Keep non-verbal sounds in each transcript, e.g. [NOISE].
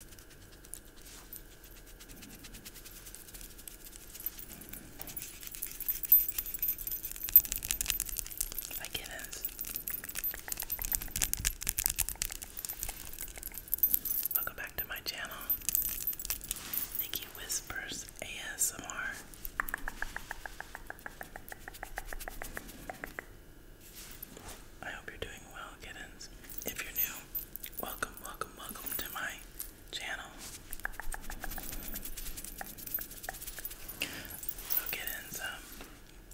My goodness. Welcome back to my channel. Nikki Whispers ASMR. I hope you're doing well, kittens. If you're new, welcome, welcome, welcome to my channel. So, kittens, um,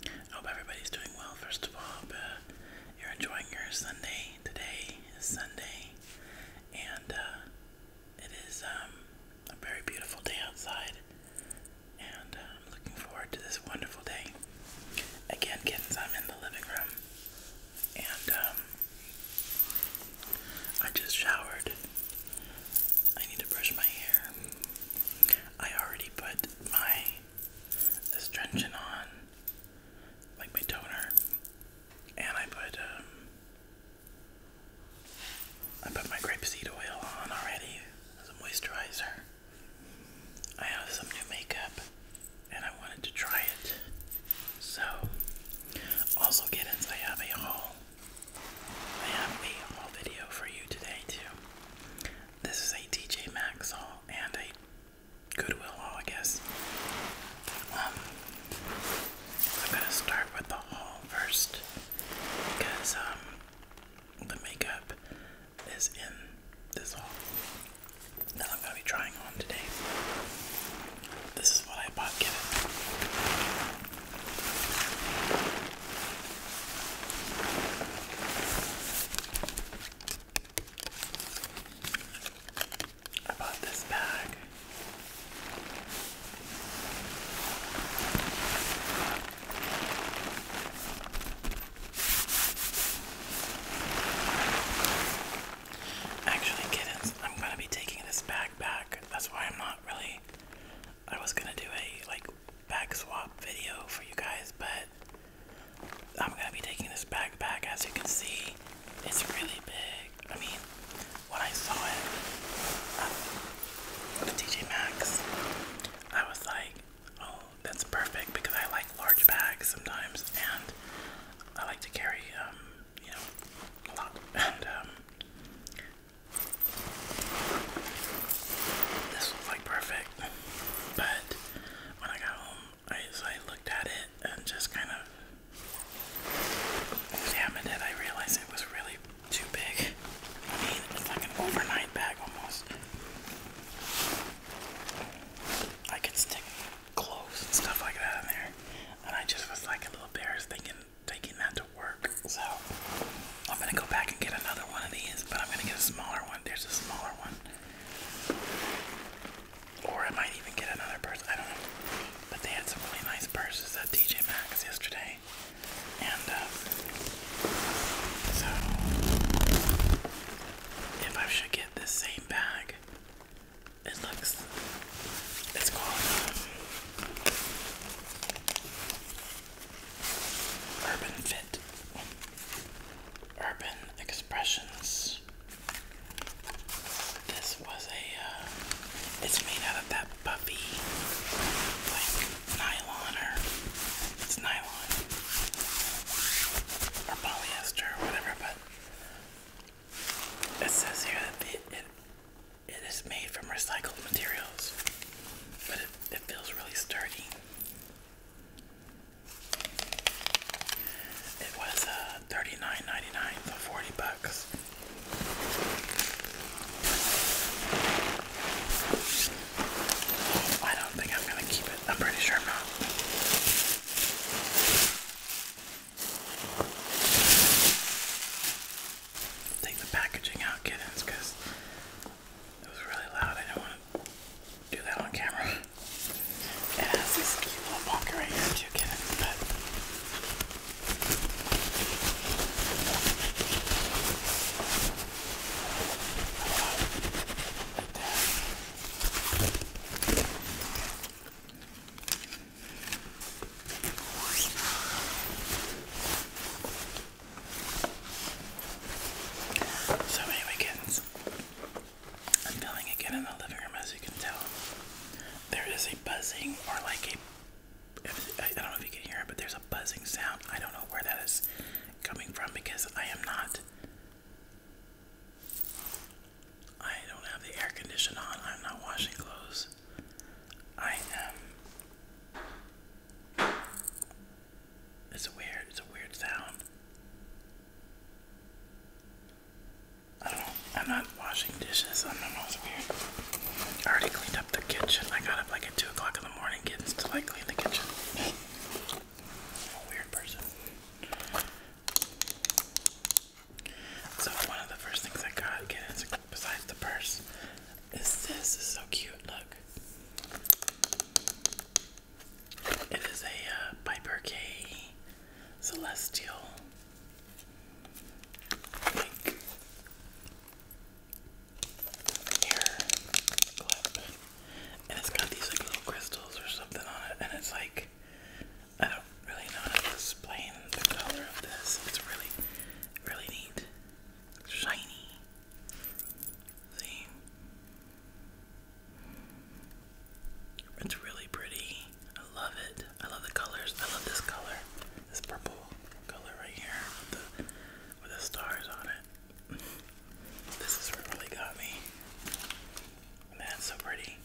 I hope everybody's doing well, first of all. I you're enjoying your Sunday. Today is Sunday, and uh, it is um, a very beautiful day outside. And uh, I'm looking forward to this wonderful day. Again, kittens, I'm in the living room and um, I just showered. I need to brush my hair. I already put my astringent on, like my toner, and I put um, I put my grapeseed oil on already as a moisturizer. I have some new makeup and I wanted to try it. So, also get ins, I have a haul. I have a haul video for you today too. This is a TJ Maxx haul and a Goodwill haul, I guess. Um, I'm gonna start with the haul first because um, the makeup is in this haul that I'm going to be trying on today. This is what I bought given. I bought this bag. Actually, kittens, I'm gonna be taking this bag That's why I'm not really. I was gonna do a like bag swap video for you guys, but I'm gonna be taking this bag back. As you can see, it's really big. I mean, when I saw it um, with TJ Maxx, I was like, oh that's perfect because I like large bags sometimes, and I like to carry, um, you know, a lot. [LAUGHS] And um, this was like perfect, but when I got home, I I looked at it and just kind of examined it. I realized it was really too big. it's like an overnight bag almost. I could stick clothes and stuff like that in there. And I just was like a little embarrassed thinking taking that to work. So I'm gonna go back and get another one of these, but I'm gonna get a smaller one. There's a smaller one. Or I might even get another purse. I don't know. But they had some really nice purses at TJ Maxx yesterday. And uh, so if I should get this same bag it looks. It's called Urban Fit, Urban Expressions. This was a. Uh, it's made out of that puffy, like nylon or it's nylon or polyester or whatever, but it says here that it, it is made from recycled materials, but it, feels really sturdy. It was uh, 39 dollars 40 bucks. I don't think I'm gonna keep it. I'm pretty sure not. Take the packaging out, kittens, because it was really loud. I don't want to do that on camera. It has this cute little pocket right here, too, kittens, so anyway, kittens, I'm filming again in the living room, as you can tell. There is a buzzing, or like a, I don't know if you can hear it, but there's a buzzing sound. I don't know where that is coming from because I am not I don't have the air conditioner on. I'm not washing clothes. I am. It's weird. It's a weird sound. I don't know. I'm not washing dishes. I don't know. It's weird. I already cleaned up the kitchen. I got up like at 2 o'clock in the morning getting to like clean the kitchen. I'm a weird person. So one of the first things I got is, besides the purse, is this. It's so cute. Look, it is a uh, Piper K Celestial. Like, hair clip, and it's got these like little crystals or something on it, and it's like I don't really know how to explain the color of this. It's really, really neat. Shiny. See? It's really pretty. I love it. I love the colors. I love this color. This purple color right here with the with the stars on it. This is what really got me that's so pretty.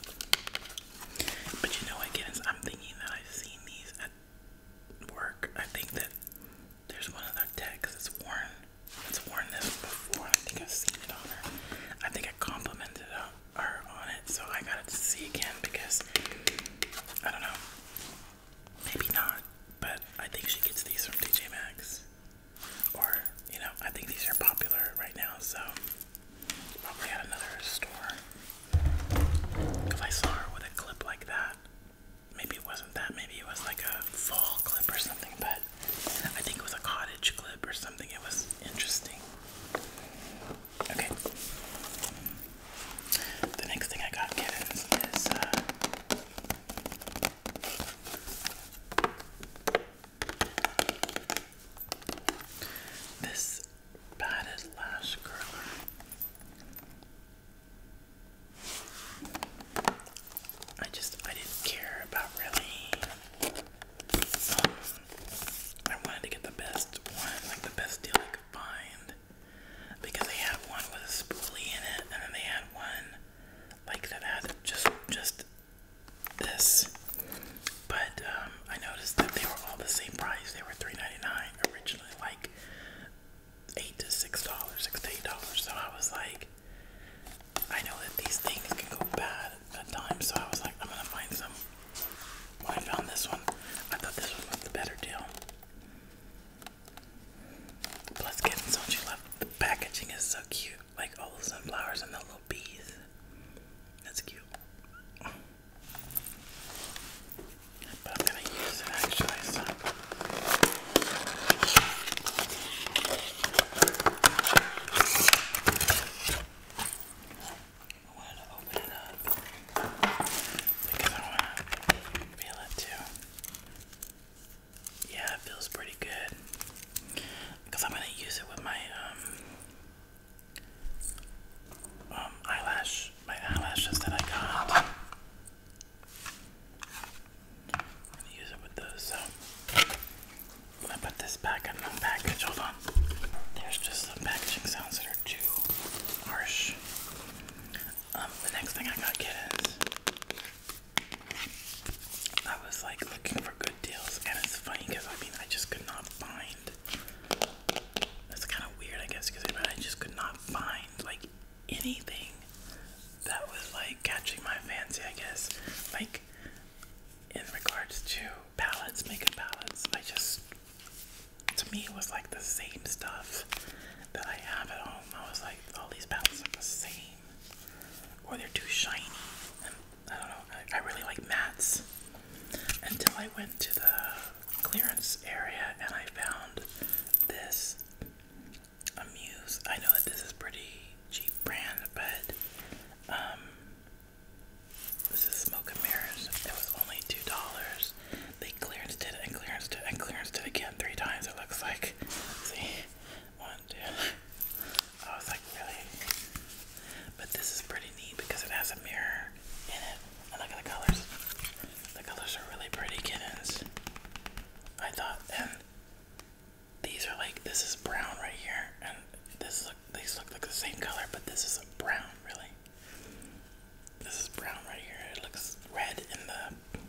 But you know what, guess I'm thinking that I've seen these at work. I think that there's one of their texts that's worn. It's worn this before. I think I've seen it on her. I think I complimented her on it, so I got to see again because I don't know. Maybe not, but I think she gets these from DJ Maxx. Or, you know, I think these are popular right now, so probably at another store. Because I saw her with a clip like that. Maybe it wasn't that, maybe it was like a fall clip or something, but I think it was a cottage clip or something. It was interesting. Okay. The next thing I got is uh, this padded lash curler. I just I didn't care about really. Um, I wanted to get the best one, like the best deal I could find, because they had one with a spoolie in it, and then they had one like that had just just this, but um, I noticed that they were all the same price. They were $3.99 originally, like eight to six dollars, six to eight dollars. So I was like, I know that these things can go bad at times, so I was like, I'm gonna find some. When I found this one, I thought this one was the better deal. Plus, getting so she left. The packaging is so cute like all the sunflowers and the little bees. That's cute. But I'm gonna use it actually. I wanted to open it up because I want to feel it too. Yeah, it feels pretty good because I'm gonna use it with my um, um, eyelash, my eyelashes that I got. I'm gonna use it with those. So I'm gonna put this back in the package. Hold on. There's just some packaging sounds that are too harsh. Um, the next thing I gotta get is I was like looking for good deals, and it's funny because I mean, I just could not find. That's kind of weird, I guess, because I just could not find like anything that was like catching my fancy, I guess. Like in regards to palettes, makeup palettes, I just to me it was like the same stuff that I have at home. I was like, all these palettes are the same, or they're too shiny I don't know. I, really like mats until I went to the clearance area and I found this Amuse. I know that this is pretty cheap brand, but um, this is Smoke and Mirrors. It was only two dollars. They did it and clearance did it and clearance did it again three times. It looks like. See, one, two. Oh, I was like, really? But this is pretty neat because it has a mirror in it. look at the colors. The colors are really pretty kittens. I thought, and these are like, this is brown right here, and this look, these look like the same color, but this is brown, really. This is brown right here. It looks red in the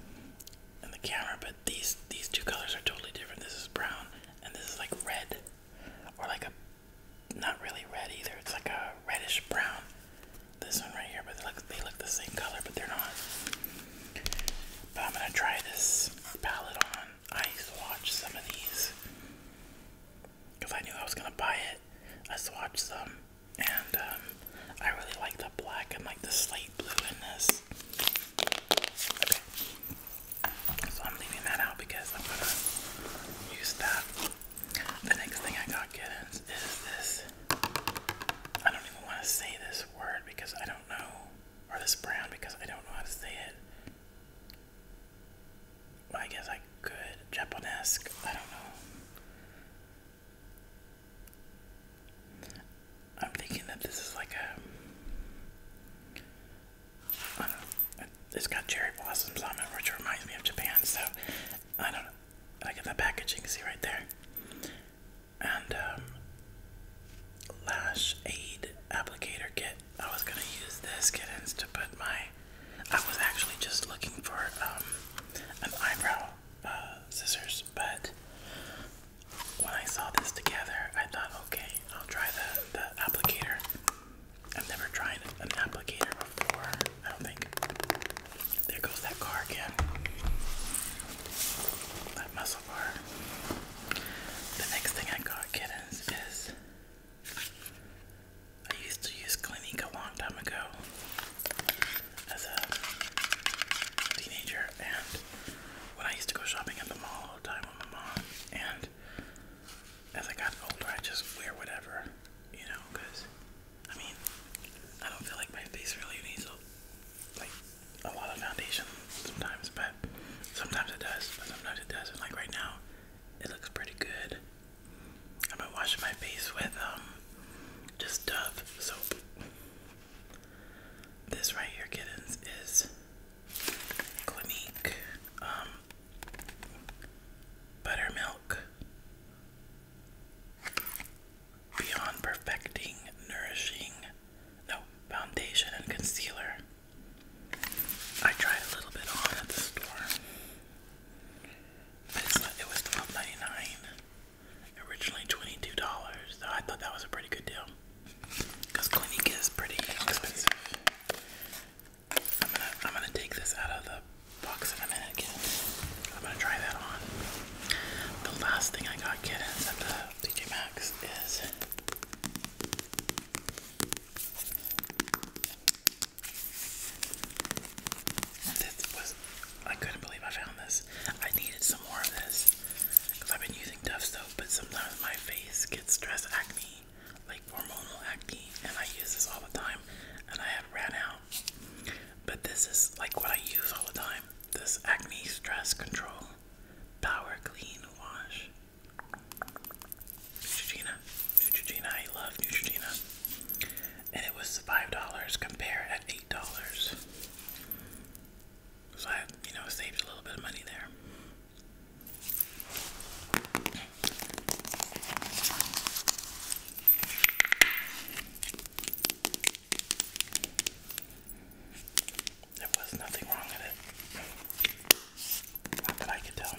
in the camera, but these these two colors are totally different. This is brown, and this is like red or like a not really red either. It's like a reddish brown. This one right here, but they look they look the same color, but they're not. But I'm gonna try this palette on. I swatched some of these because I knew I was gonna buy it. I swatched some, and um, I really like the black and like the slate blue in this. So I'm leaving that out because I'm gonna use that. The next thing I got is this. I don't even want to say this word because I don't know, or this brand because I don't know how to say it. Well, I guess I could. Japonesque. I don't know. I'm thinking that this is like a it's got cherry blossoms on it, which reminds me of Japan. So I don't know. Like in the package, you can see right there. And um, lash aid applicator kit. I was gonna use this kittens to put my. I was actually just looking for um, an eyebrow uh, scissors, but when I saw this together, I thought, okay, I'll try the, the applicator. I've never tried an applicator before, I don't think. There goes that car again. That muscle bar. The next thing I got, kittens, is I used to use Clinique a long time ago as a teenager, and when I used to go shopping at the mall all the time with my mom, and as I got older, I just wear whatever, you know, because I mean, I don't feel like my face really needs like a lot of foundation sometimes, but sometimes it does, but sometimes it doesn't. Like right now, it looks pretty good. I've been washing my face with um just Dove soap. This right here, kittens, is Clinique, um, Buttermilk, Beyond Perfecting Nourishing, no, Foundation and Concealer. I tried a little bit on at the store, but it was twelve ninety nine. originally $22, so I thought that was a pretty good deal. Because Clinique is pretty expensive. I'm gonna I'm gonna take this out of the box in a minute, I'm gonna try that on. The last thing I got kittens at the TJ Maxx is this was I couldn't believe I found this. I needed some more of this because I've been using Dove soap, but sometimes my face gets stress acne like hormonal acne, and I use this all the time, and I have ran out. But this is like what I use all the time this acne stress control power clean wash. Neutrogena, Neutrogena, I love Neutrogena. And it was $5, compared at $8. So I, you know, saved a little bit of money there. There was nothing wrong with it. Not that I could tell.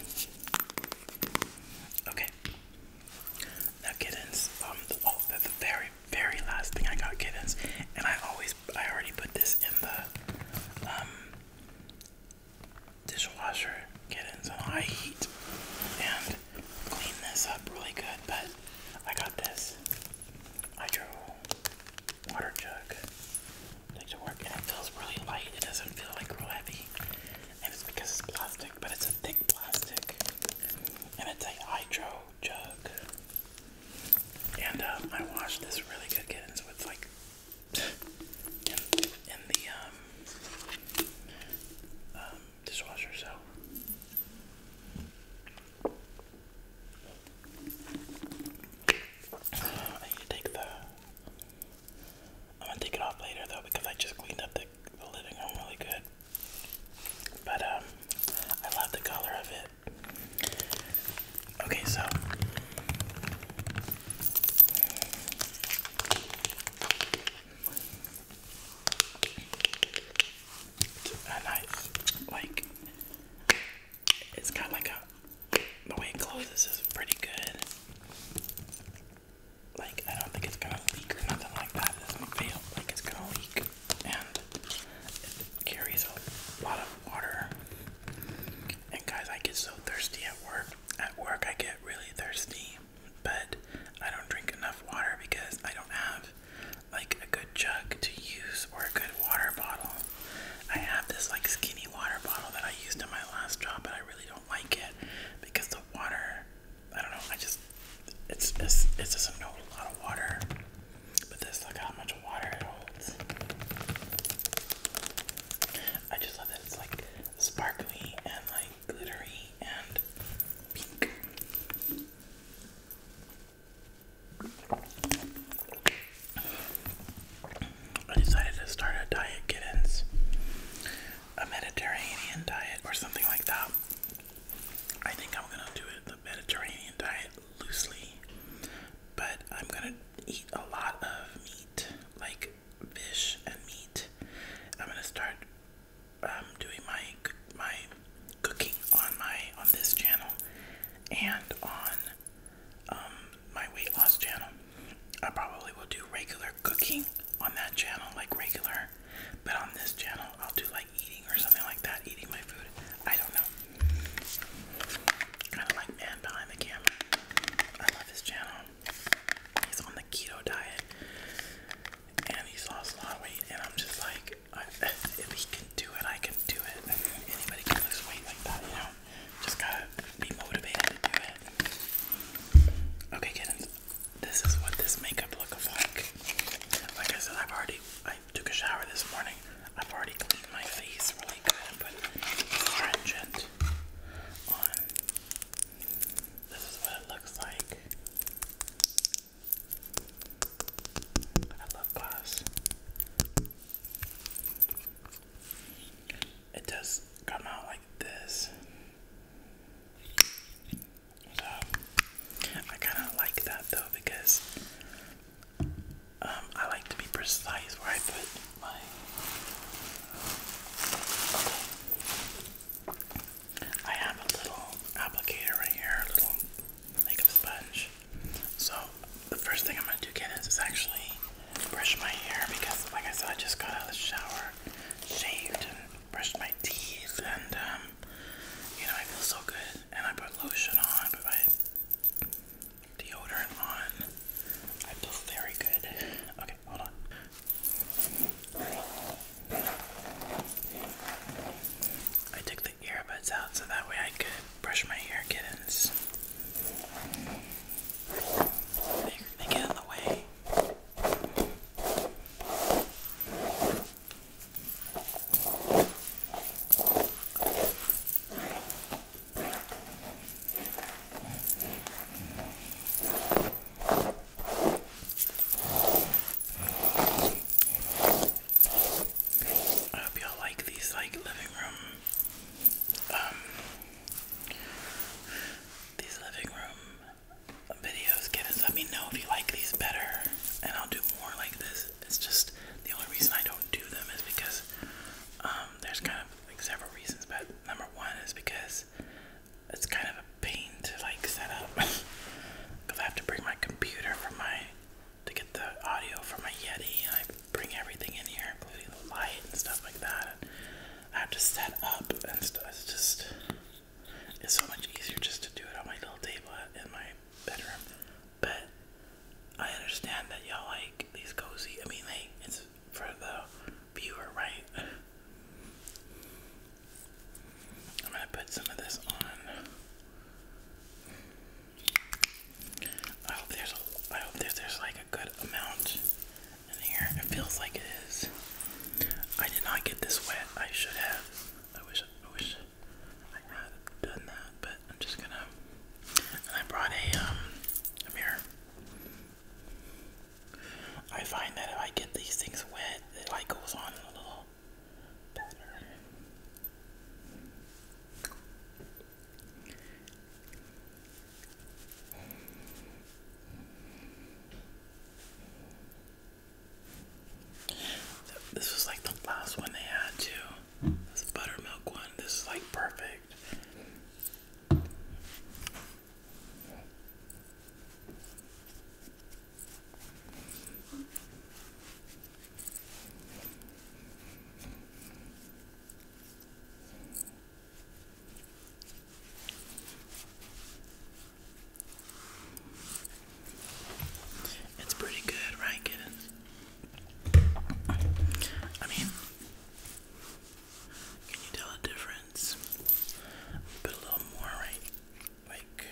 Okay. Now Giddens, um, oh, the, very, very last thing I got Giddens, and I always, I already put this in the, um, dishwasher, get in some high heat, and clean this up really good. But I got this hydro water jug like to work, and it feels really light. It doesn't feel like real heavy, and it's because it's plastic, but it's a thick plastic, and it's a hydro jug. And um, I washed this really good, so it's like in, the um, um, dishwasher, so. I am gonna take it off later though because I just cleaned up the, living room really good. But um, I love the color of it. Okay, so like it's kind like a the way it closes is pretty good. Like I don't think it's gonna leak or nothing like that. doesn't feel like it's gonna leak, and it carries a lot of water. And guys, I get so thirsty at work. At work, I get really thirsty, but I don't drink enough water because I don't have like a good jug to use or a good water bottle. I have this like skinny water bottle that I used in my last job, but I really don't like it because the water, I don't know, I just it's it's it doesn't hold a lot of water. But this, look how much water it holds. I just love that it's like sparkly and like glittery and pink. I decided to start a diet kittens, a Mediterranean diet or something like that. I think I'm gonna do it the Mediterranean diet loosely, but I'm gonna eat a lot of meat like fish and meat. I'm gonna start um, doing my my cooking on my on this channel and on um, my weight loss channel. I probably will do regular cooking on that channel, like regular, but on this channel I'll do like eating or something like that, eating my food. I don't know. Kind of like man behind the camera his channel. He's on the keto diet and he's lost a lot of weight. And I'm just like, [LAUGHS] if he can do it, I can do it. Anybody can lose weight like that, you know? Just gotta be motivated Okay, kittens, this is what this makeup looks like. Like I said, I've already, I took a shower this morning. I've already cleaned my face really good and put it This is what it looks like. I love glass. It does come out like this. So I kind of like that though because um, I like to be precise where I put my. Okay. I have a little applicator right here, a little makeup sponge. So the first thing I'm gonna do, Kenneth, is actually brush my hair because, like I said, I just got out of the shower, shaved, brushed my teeth, and um, you know I feel so good. And I put lotion on, but my deodorant on. I feel very good. Okay, hold on. I took the earbuds out so that way I could brush my hair kittens. They, they get in the way. I hope y'all like these like living room um these living room videos give us let me know if you like these better and I'll do more like this. It's just the only reason I don't do them is because um there's kind of like several reasons but number one is because it's kind of a pain to like set up because [LAUGHS] I have to bring my computer for my to get the audio for my Yeti and I bring everything in here including the light and stuff like that and I have to set up and stuff it's just it's so much easier just to do it on my little table in my bedroom but I understand that y'all like these cozy I mean they it's for the viewer, right? I'm going to put some of this on. I hope there's a, I hope there's like a good amount in here. It feels like it is. I did not get this wet. I should have. I wish I wish I had done that, but I'm just gonna. And I brought a um a mirror. I find that if I get these things wet, it like goes on a little better. This was like the last one they had too. This buttermilk one. This is like perfect. It's pretty good, right, kiddos? I mean, can you tell a difference? Put a little more right, like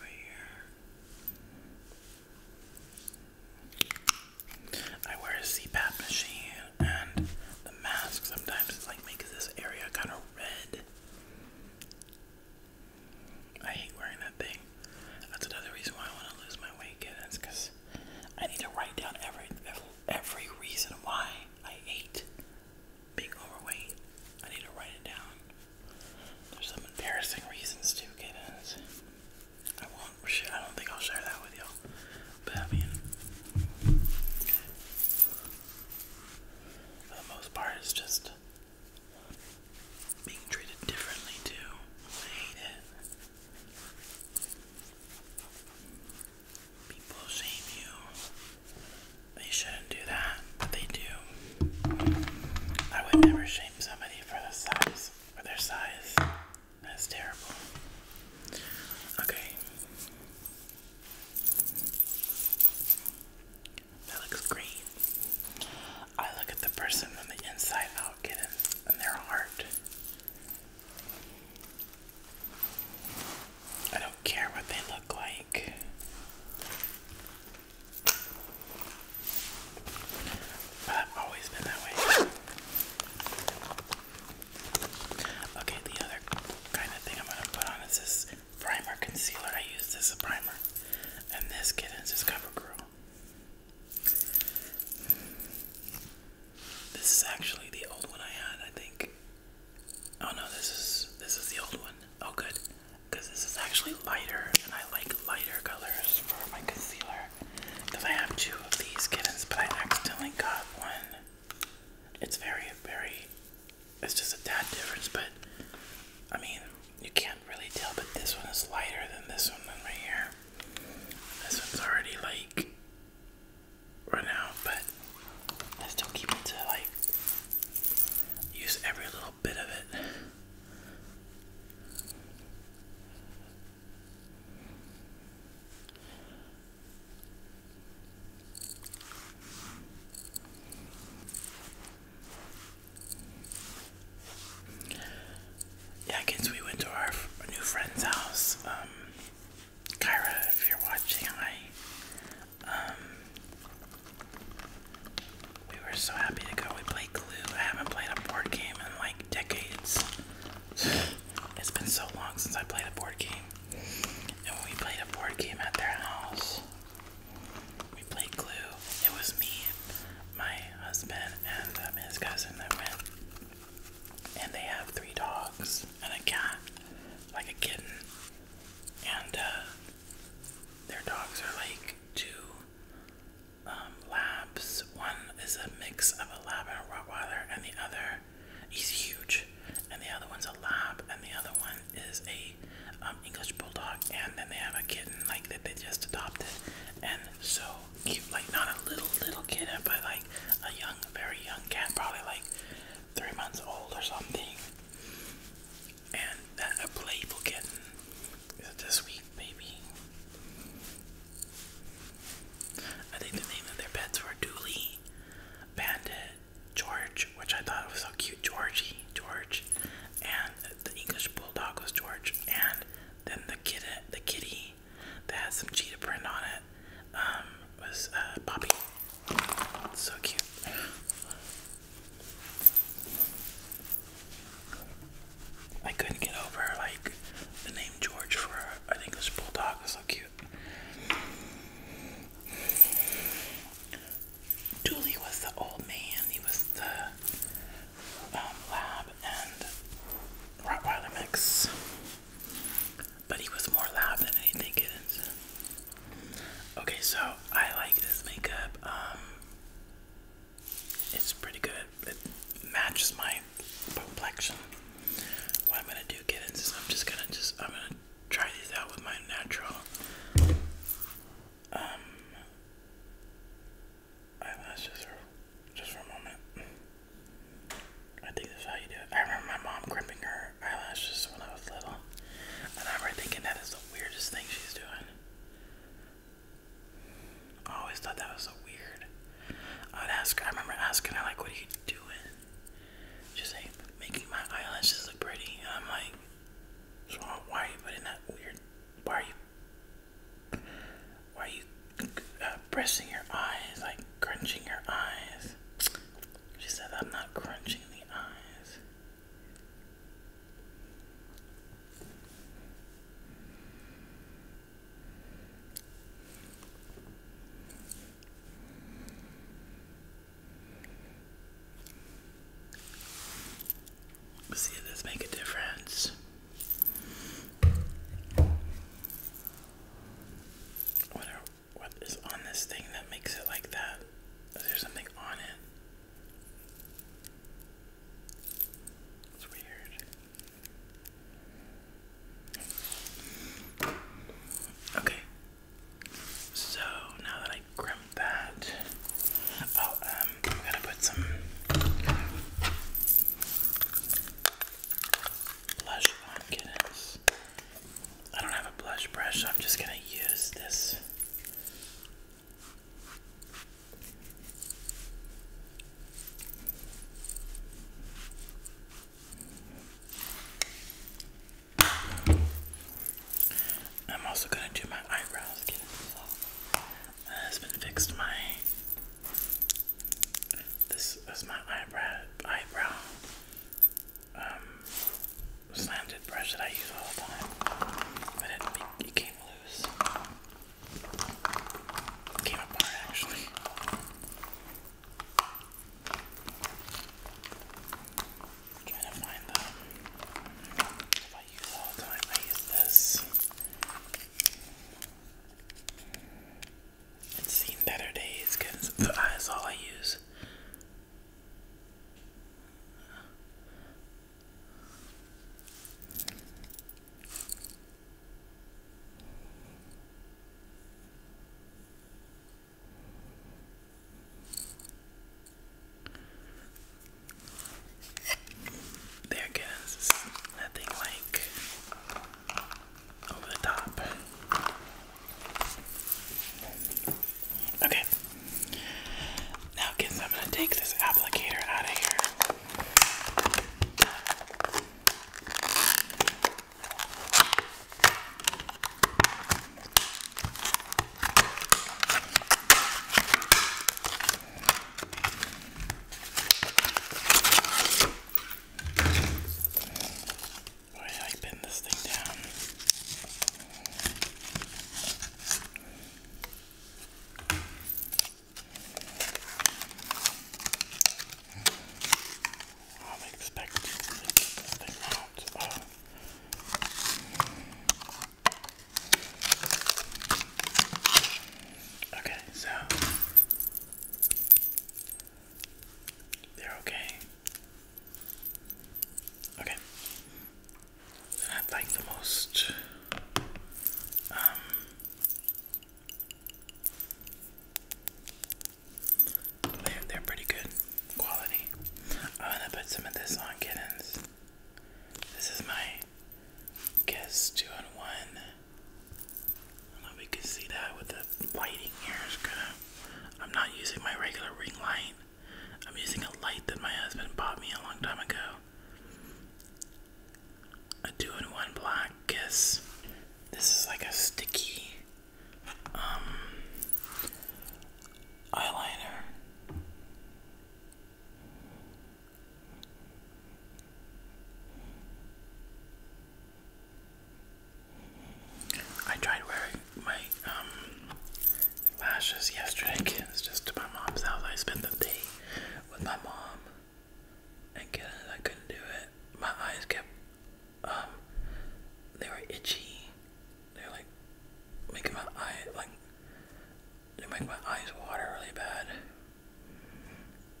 right here. I wear a CPAP machine, and the mask sometimes like makes this area kind of red. I hate wearing that thing. That's another reason why I want to lose my weight, and it's because I need to write down every every reason why I hate being overweight. I need to write it down. There's some embarrassing reasons too, kids. I won't. I don't think I'll share that with y'all. But I mean, for the most part, it's just being treated differently too. I hate it. People shame you. They shouldn't do that, but they do. I would never shame somebody for the size or their size. That's terrible. Okay. That looks great. I look at the person from the inside out, get in their heart. I don't care what they look like. I've always been that way. Okay, the other kind of thing I'm going to put on is this primer concealer. I use this as a primer. And this kittens is CoverGirl. This is actually the old one I had, I think. Oh no, this is this is the old one. Oh good. Because this is actually lighter and I like lighter colors for my concealer. Because I have two of these kittens, but I accidentally got one. It's very, very it's just a tad difference, but I mean you can't really tell, but this one is lighter than this one right here. This one's already like right now, but I still keep to like use every little bit of it yeah, kids, we went to our new friend's house. Um, Kyra, if you're watching, hi. Um, we were so happy to go. We played Glue. I haven't played a board game in like decades. [SIGHS] It's been so long since I played a board game. And we played a board game at their house. We played Glue. It was me, my husband, and um, his cousin that went and they have three dogs and a cat, like a kitten. And uh, their dogs are like two um, labs. One is a mix of a lab and a Rottweiler, and the other is huge. And the other one's a lab, and the other one is a um, English bulldog. And then they have a kitten like that they just adopted, and so cute. Like not a little little kitten, but like a young a very young cat, probably like three months old or something. And that a playful kitten is a this week baby. I think the name of their pets were Dooley, Bandit, George, which I thought was so cute, Georgie, George, and the English bulldog was George, and then the kid, the kitty that had some cheetah print on it um, was uh, Poppy. So cute. I couldn't get over like the name George for I think it was Bulldog. so cute. Dooley was the old man. He was the um, lab and Rottweiler mix. But he was more loud than anything Okay, so I like this makeup. Um, it's pretty good. It matches my complexion. What I'm gonna do, kittens, is I'm just gonna just I'm gonna try these out with my natural um, eyelashes just for a moment. I think that's how you do it. I remember my mom crimping her eyelashes when I was little. I remember thinking that is the weirdest thing she's doing. I always thought that was so weird. I would ask her. I remember asking her like what are you doing? She's like making my eyelashes look pretty I'm like so why are you putting that weird why are you why are you uh, pressing your eyes, like crunching your eyes? She said, I'm not crunching the eyes. See, does make a difference what is on this thing that makes it like that? Is there something on it? It's weird. Okay. So now that I crimped that, oh, um, I'm gonna put some blush on kittens. I don't have a blush brush, so I'm just gonna use this. I'm also gonna do my eyebrows. Kittens. My husband fixed my this is my eyebrow eyebrow um, slanted brush that I use all the time, but it, it came loose. came apart actually. trying to find them. If I use all the time, I use this. It's seen better days because that's all I use. There goes nothing like over the top. Okay. Now, kids, I'm going to take this applicator out of here. Boy, I bend this thing down. I'm expecting to get this thing out. Oh. Okay, so they're okay. Okay. they like the most um, they're, they're pretty good quality. I'm gonna put some of this on kittens. This is my guess two on one I do see that with the lighting here. I'm not using my regular ring light. I'm using a light that my husband bought me a long time ago. A two-in-one black kiss. This is like a sticky um, eyeliner. I tried wearing my um, lashes yesterday, It's just to my mom's house. I spent the day with my mom, and kids, I couldn't do it. My eyes kept, um, they were itchy. They are like making my eye like they make my eyes water really bad.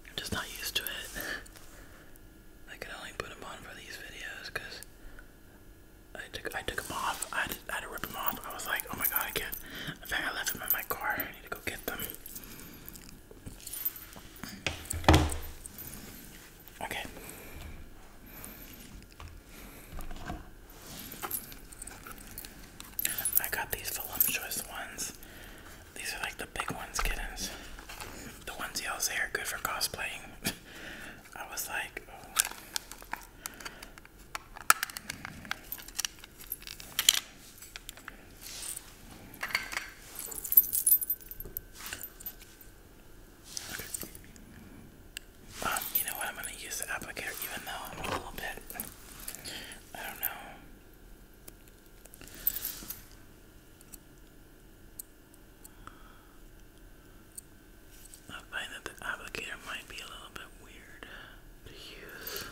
I'm just not used to it. I could only put them on for these videos because I took I took them off. I had, to, rip them off. I was like, oh my god, I can't. In fact, I left them in my car. I need to go get them. Okay. I got these voluptuous ones these are like the big ones, kittens. The ones y'all say are good for cosplaying. [LAUGHS] I was like, oh. Um, you know what? I'm gonna use applicator even though I'm a little bit. I don't know. I find that the applicator might be a little bit weird to use.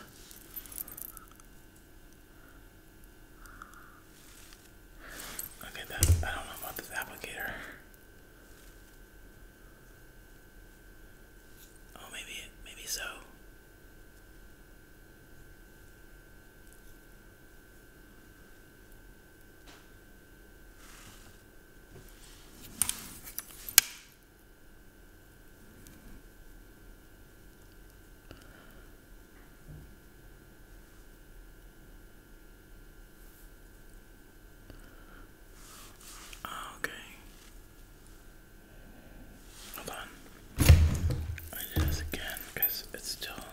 Okay, that I don't know about this applicator. Oh, maybe, maybe so. Ah, okay. Hold on. I do this again because it's still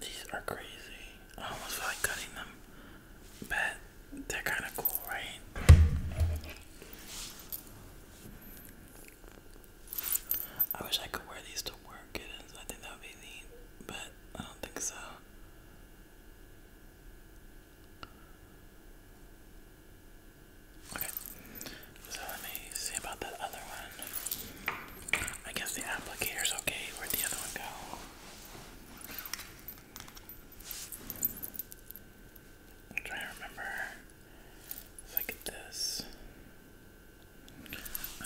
These are crazy. I almost feel like cutting them, but they're kind of cool, right? I wish I could wear these to work. It is. I think that would be neat, but I don't think so. Okay, so let me see about that other one. I guess the applicator's okay. Where'd the other one go? I'm trying to remember if this.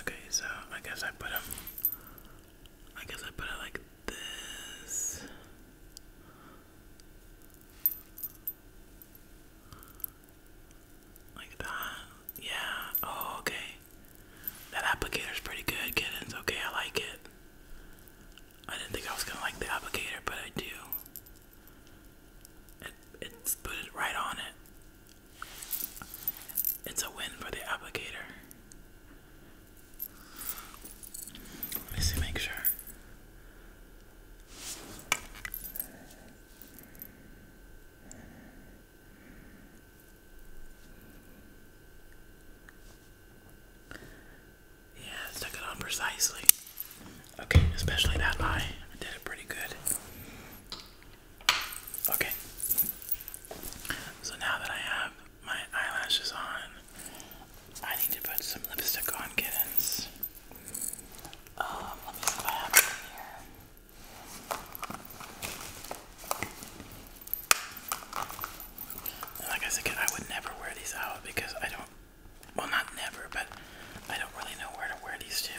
Okay, so I guess I put them. I guess I put it like this. Like that. Yeah. Oh, okay. That applicator is pretty good, kittens. Okay, I like it. I didn't think I was gonna like the applicator, but I do. It, it's put it right on it. It's a win for the applicator. Let me see, make sure. Yeah, stuck it on precisely. Okay, especially that eye. I did it pretty good. Okay. So now that I have my eyelashes on, I need to put some lipstick on kittens. Um, let me see what I here like I said, I would never wear these out because I don't. Well, not never, but I don't really know where to wear these to.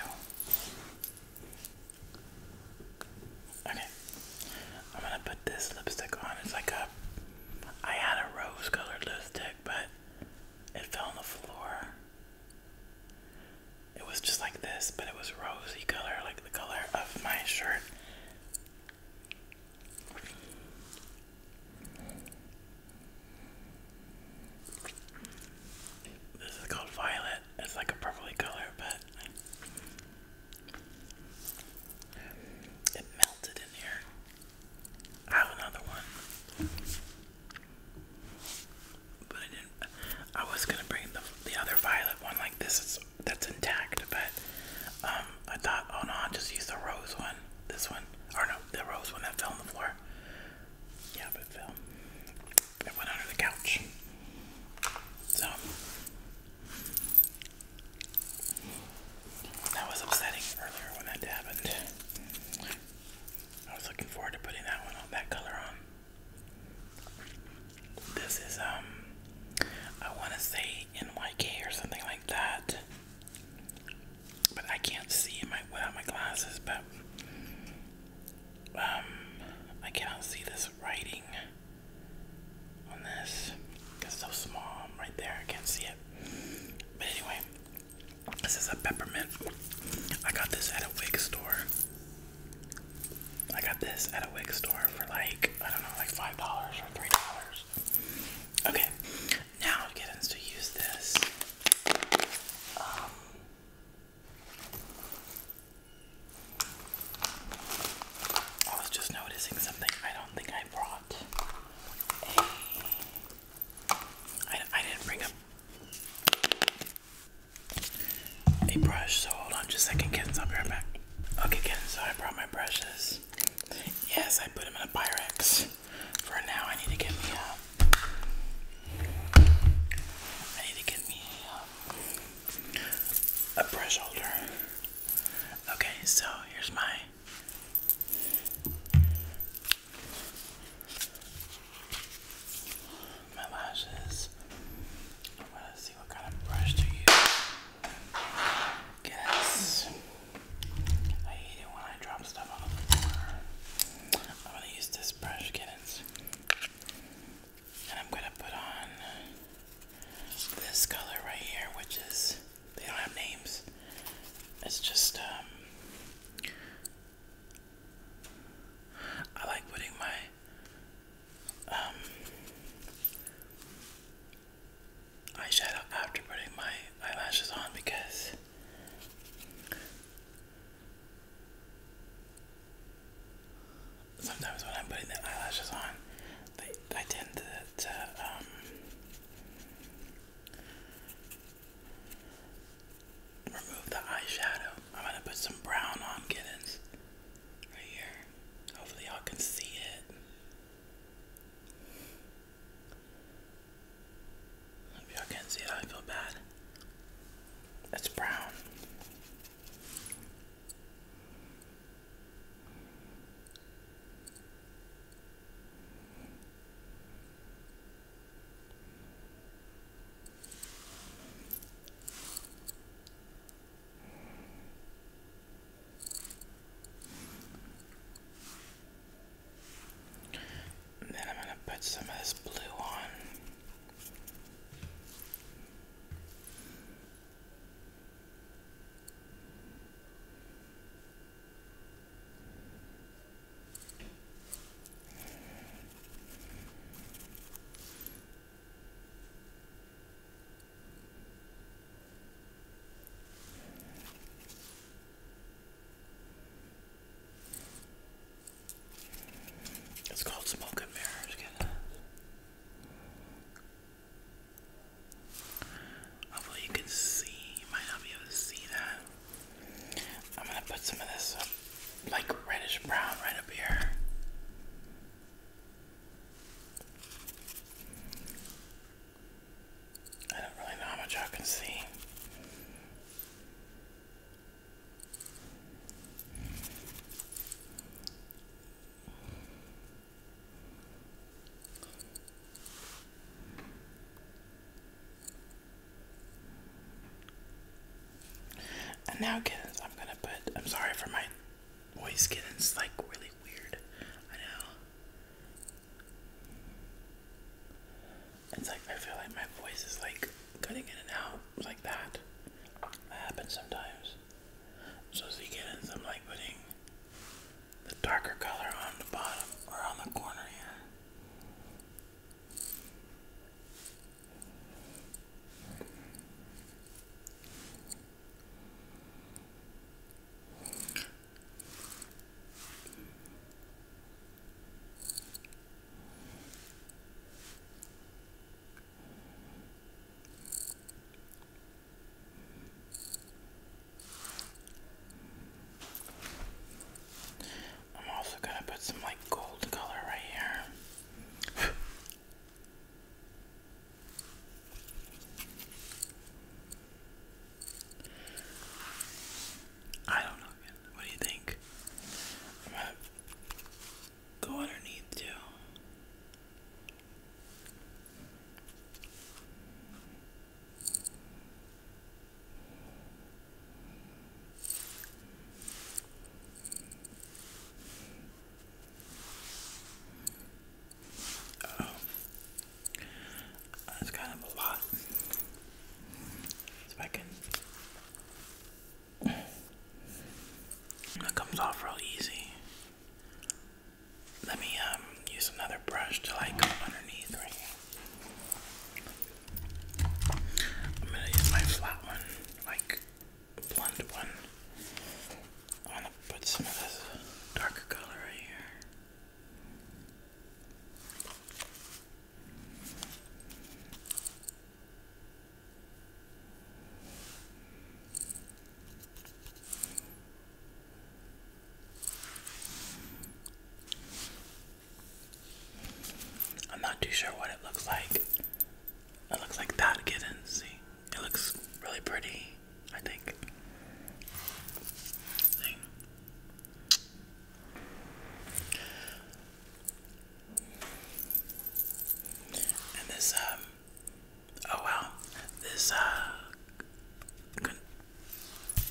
Okay, I'm gonna put this lipstick on. It's like a. I had a rose colored lipstick, but it fell on the floor. It was just like this, but it was rosy color, like the color of my shirt. This is called violet. It's like a purpley color, but it melted in here. I have another one. But I didn't I was gonna bring the the other violet one like this that's intact, but um, I thought, oh no, i just use the rose one. This one, or no, the rose one that fell on the floor. Yeah, but it fell. It went under the couch. So that was upsetting earlier when that happened. I was looking forward to putting that one on that color on. This is um I wanna say NYK or something like that. But I can't see my without my glasses, but um I cannot see this writing on this. It's so small right there, I can't see it. But anyway, this is a peppermint. I got this at a wig store. I got this at a wig store for like, I don't know, like $5 or $3. Okay, now it to use this. Um, I was just noticing something. I don't think I brought a. I, I didn't bring a, a brush, so hold on just second, kids. I'll be right back. Okay, Ken, so I brought my brushes. Yes, I put them in a Pyrex. For now, I need to get me a. Uh, I need to get me a, um, a brush holder. Okay, so here's my. My lashes. I'm gonna see what kind of brush to use. Guess I hate it when I drop stuff on the floor. I'm gonna use this brush, kittens. And I'm gonna put on this color right here, which is they don't have names. It's just um, I like putting my um, eyeshadow after putting my eyelashes on because sometimes when I'm putting the eyelashes on, I tend to, um, remove the eyeshadow. I'm gonna put some brown on kittens right here. Hopefully, y'all can see it. If y'all can see I feel bad. It's brown then I'm going to put some of this blue on. It's called smoke and mirrors. Hopefully you can see. You might not be able to see that. I'm gonna put some of this like reddish brown right up here. I don't really know how much I can see. And now, kids, I'm gonna put. I'm sorry for my voice getting like really weird. I know. It's like I feel like my voice is like cutting in and out like that. That happens sometimes. So as you get in, I'm like putting the darker color on the bottom or on the corner here. I'm also going to put some like gold color right here. I don't know. What do you think? go underneath too. Oh. that's kind of a lot. If I can, that comes off real easy. Let me um use another brush to like go underneath right I'm gonna use my flat one, like blunt one. I want to put some of this darker color right here. I'm not too sure what it looks like. It looks like that, kittens. See, it looks really pretty. I think. And this, um, oh wow, this, uh,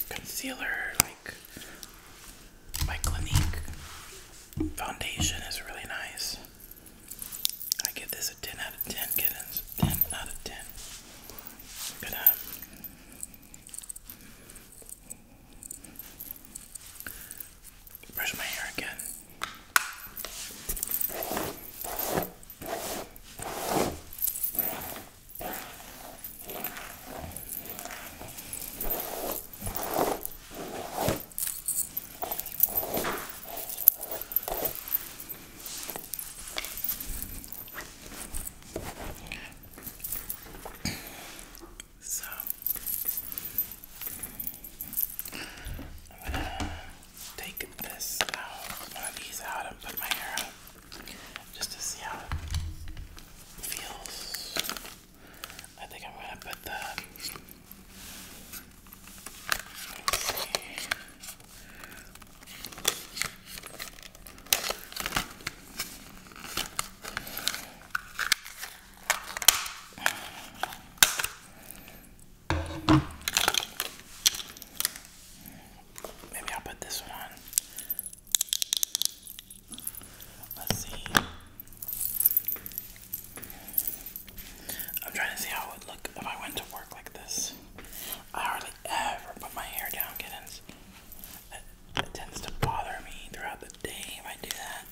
concealer, like, by Clinique foundation is really nice. I give this a 10 out of 10 kittens. 10 out of 10. But, um, brush my hair again. So I'm gonna take this out, one of out, and put my hair on just to see how it feels. I think I'm gonna put the Maybe I'll put this one on. Let's see. I'm trying to see how it would look if I went to work like this. I hardly ever put my hair down, kittens. That, tends to bother me throughout the day if I do that.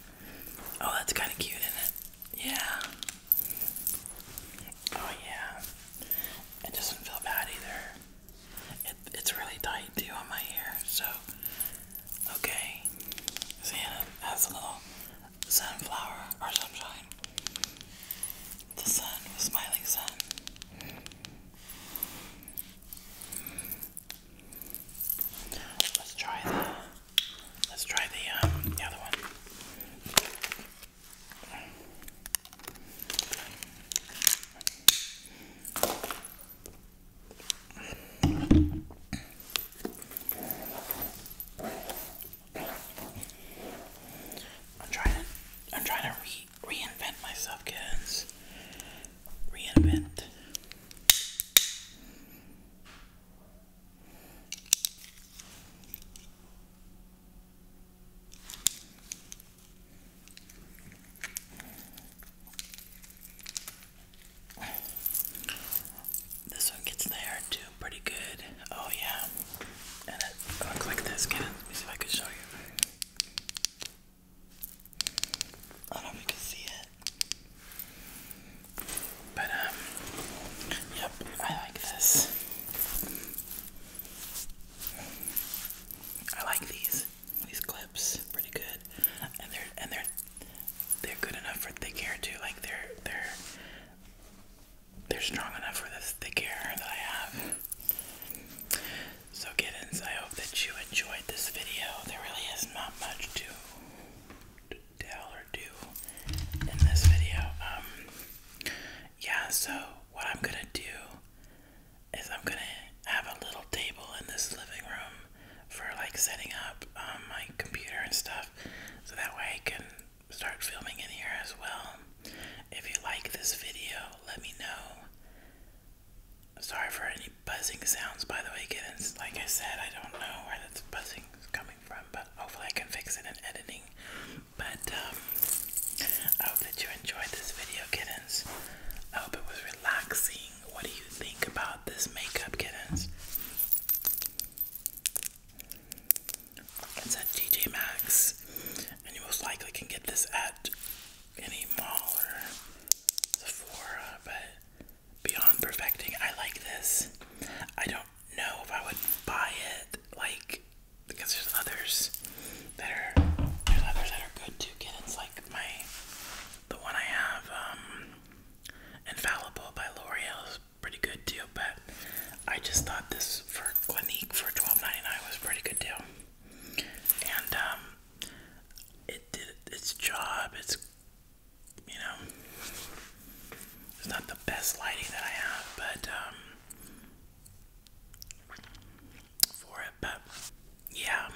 Oh, that's kind of cute, isn't it? Yeah. Oh, yeah. It doesn't feel bad either. It, it's really tight, too, on my hair, so. Okay. Santa has a little sunflower sunshine. The sun was smiling sun. Let's try the let's try the um the other one. I'm trying to I'm trying to re reinvent myself, kids. Reinvent. This one gets there too pretty good. Oh yeah. And it looks like this. Get see if I can show you. I don't know if you can see it. But um yep, I like this. I like these these clips pretty good. And they're and they're they're good enough for thick hair too. Like they're they're they're strong enough for this thick hair that I have. So, Giddens, I hope that you enjoyed this video. There really is not much to, to tell or do in this video. Um, yeah, so what I'm gonna do is I'm gonna have a little table in this living room for like setting up um, my computer and stuff so that way I can start filming in here as well. If you like this video, let me know. Sorry for any buzzing sounds, by the way, kittens. Like I said, I don't know where that's buzzing is coming from, but hopefully I can fix it in editing. But um, I hope that you enjoyed this video, kittens. I hope it was relaxing. What do you think about this makeup, kittens? It's at TJ Maxx, and you most likely can get this at any mall or Sephora. But beyond perfecting, I like this. I don't know if I would buy it, like because there's others that are there's others that are good too. get. It's like my the one I have, um, Infallible by L'Oreal is pretty good too. But I just thought this for Clinique for 12 was a pretty good deal. And um, it did its job. It's you know it's not the best lighting that I have, but um for it, but yeah.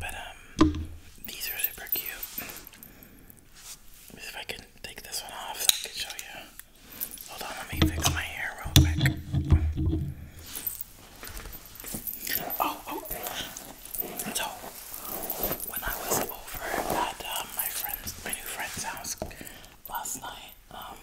But um these are super cute if I can take this one off I can show you. Hold on, let me fix my hair real quick. Oh, oh. So, when I was over at um, my friend's, my new friend's house last night, um,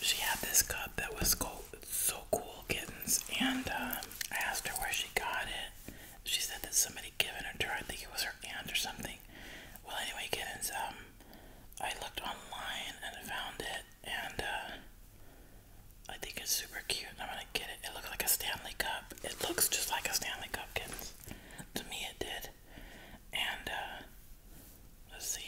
she had this cup that was cold, so cool kittens, and um, I asked her where she got it, she said that somebody given it to her. I think it was her aunt or something. Well, anyway, kids. um, I looked online and found it, and uh, I think it's super cute, I'm gonna get it. It looks like a Stanley Cup. It looks just like a Stanley Cup, kittens. To me, it did. And uh, let's see.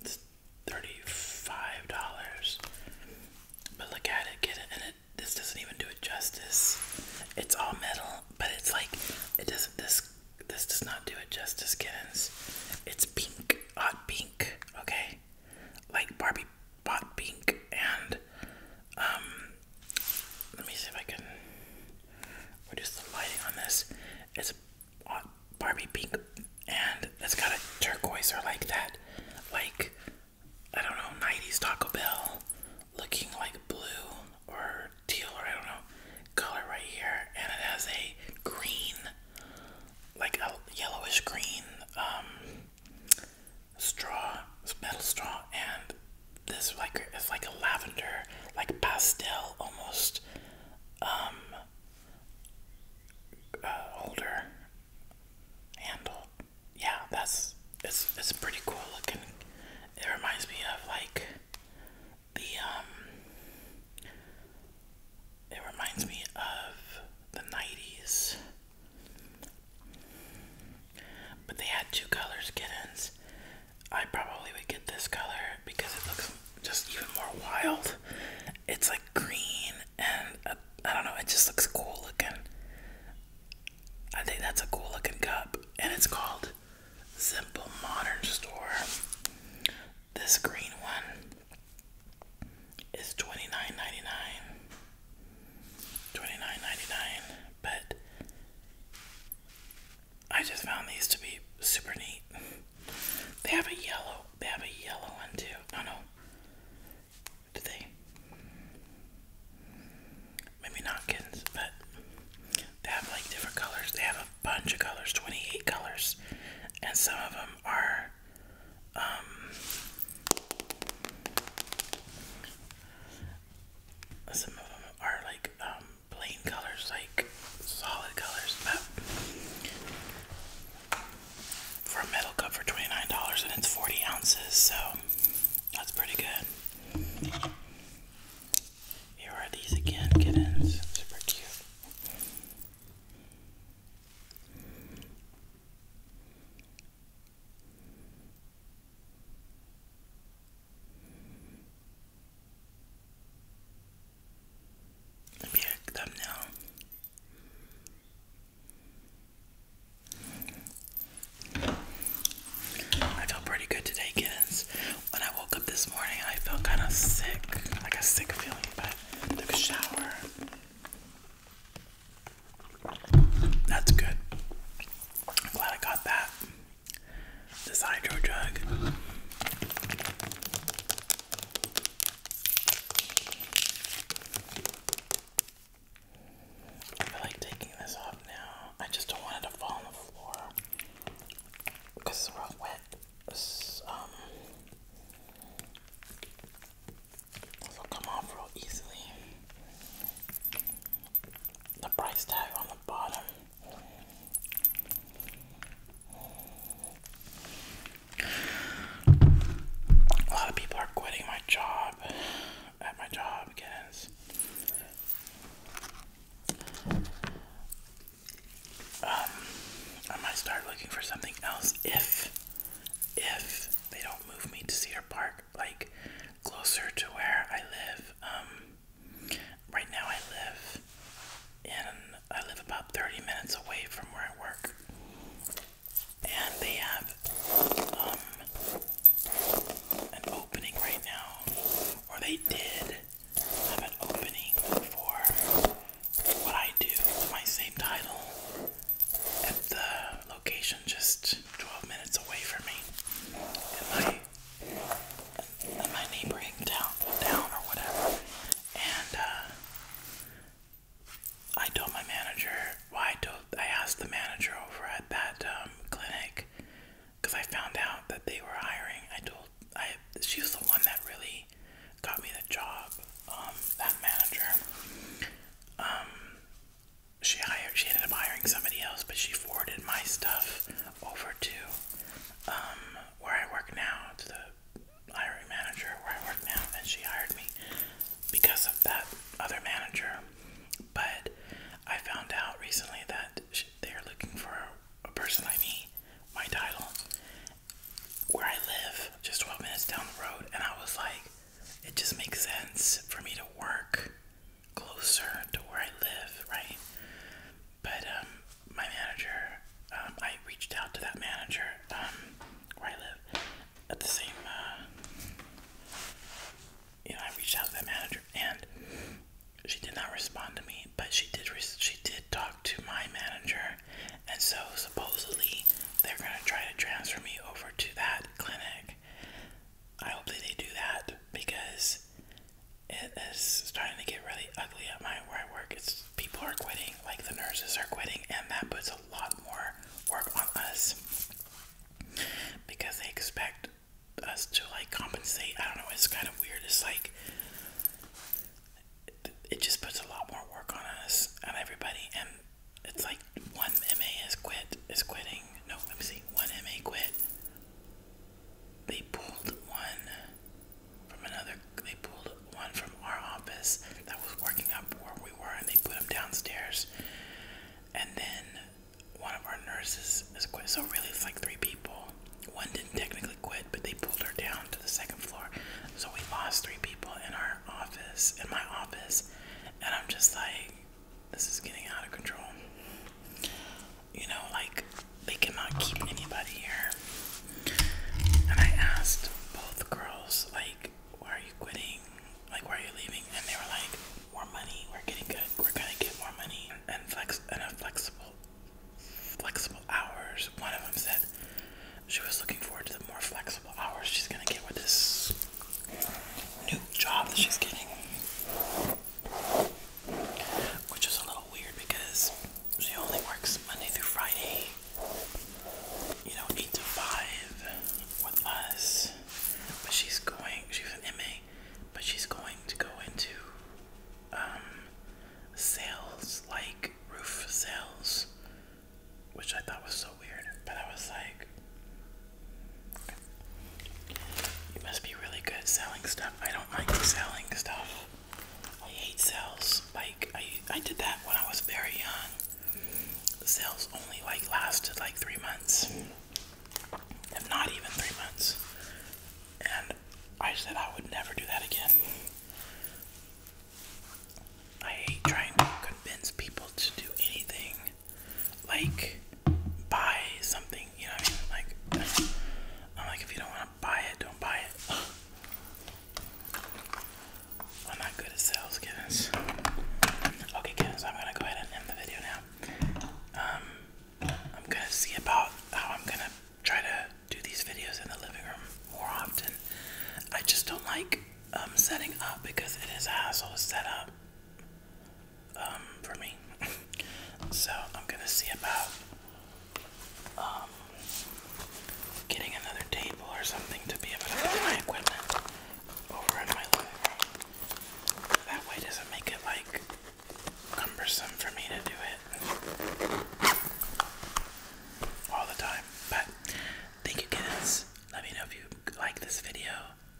It's thirty-five dollars. But look at it, get it, and it. This doesn't even do it justice. It's all metal, but it's like it doesn't. This this does not do it justice, kittens. It's pink, hot pink. Okay, like Barbie hot pink, and um, let me see if I can or just the lighting on this It's Barbie pink and it's got a turquoise or like that, like I don't know, 90s Taco Bell looking like blue or teal or I don't know color right here, and it has a green, like a yellowish green um, straw, metal straw, and this like it's like a lavender, like pastel almost um, holder uh, handle. Yeah, that's it's it's pretty cool looking. It reminds me of like the um, it reminds me of the 90s. But they had two colors kittens I probably would get this color because it looks just even more wild. It's like green and uh, I don't know, it just looks cool looking. I think that's a cool looking cup and it's called Simple Modern Store. This green one is 29 but I just found these to be super neat. They have a yellow, they have a yellow one too. Oh no. Do they? Maybe not kittens, but they have like different colors. They have a bunch of colors, 28 colors. And some of them are um, some of them are like um, plain colors, like solid colors, but for a metal cup for $29 and it's 40 ounces, so that's pretty good. Here are these again, kittens. Super cute. I feel pretty good today, kids. When I woke up this morning, I felt kind of sick, like a sick feeling, but I took a shower. That's good. I'm glad I got that this hydro jug. I like taking this off now. I just don't want it to fall on the floor because we're wet. It's, um, will come off real easily. The price tag on the bottom a lot of people are quitting my job at my job, guys. Um, I might start looking for something else if, if they don't move me to Cedar Park, like closer to where I live. Um, Right now I live in I live about 30 minutes away from where I work. And they have um, an opening right now. Or they did have an opening for what I do with my same title at the location just 12 minutes away from me city in my neighboring town, down or whatever. And uh, I told my manager. why I told I asked the manager over at that um, clinic because I found out that they were hiring. I told I she was the one that really got me the job. Um, that manager. Um, she hired. She ended up hiring somebody else, but she forwarded my stuff over to um where I work now, to the hiring manager where I work now, and she hired me because of that other manager. But I found out recently that they're looking for a person like me, my title, where I live, just 12 minutes down the road, and I was like, it just makes sense for me to work closer to where I live, right? But um, my manager, um, I reached out to that manager um, where I live at the same, uh, you know, I reached out to that manager and she did not respond to me, but she did. She did talk to my manager, and so supposedly they're gonna try to transfer me over to that clinic. I hope they do that because it is starting to get really ugly at my where I work. It's people are quitting, like the nurses are quitting, and that puts a lot more work on us because they expect us to like compensate. I don't know. It's kind of weird. It's like it, it just puts a lot more work on us on everybody, and it's like one MA is quit is quitting. No, let me see. One MA quit they pulled one from another. They pulled one from our office that was working up where we were, and they put him downstairs. And then one of our nurses is quit. So really, it's like three people. One didn't technically quit, but they pulled her down to the second floor. So we lost three people in our office, in my office, and I'm just like, this is getting out of control you know, like they cannot keep anybody here. And I asked both girls, like, why are you quitting? Like, why are you leaving? And they were like, more money. We're getting good. We're gonna get more money and flex and a flexible, flexible hours. One of them said she was looking forward to the more flexible hours she's gonna get with this new job that she's getting. Which is a little weird because she only works Monday through Friday, you know, 8 to 5 with us. But she's going, she an MA, but she's going to go into um, sales, like roof sales, which I thought was so weird. But I was like, you must be really good selling stuff. I don't like selling stuff. I hate sales. Like I, I did that when I was very young. Sales only like lasted like three months, if not even three months. And I said I would never do that again. I hate trying to convince people to do anything, like buy something you know I mean? Like, I'm like, if you don't want to buy it, don't buy it. [SIGHS] I'm not good at sales, kittens. Okay, kittens, I'm gonna go ahead and end the video now. Um, I'm gonna see about how I'm gonna try to do these videos in the living room more often. I just don't like um, setting up because it is a hassle to set up um, for me. [LAUGHS] so I'm gonna see about um, getting another table or something to be able to put my equipment over in my living That way doesn't make it like cumbersome for me to do it all the time. But thank you guys. Let me know if you like this video.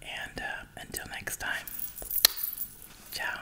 And uh, until next time, ciao.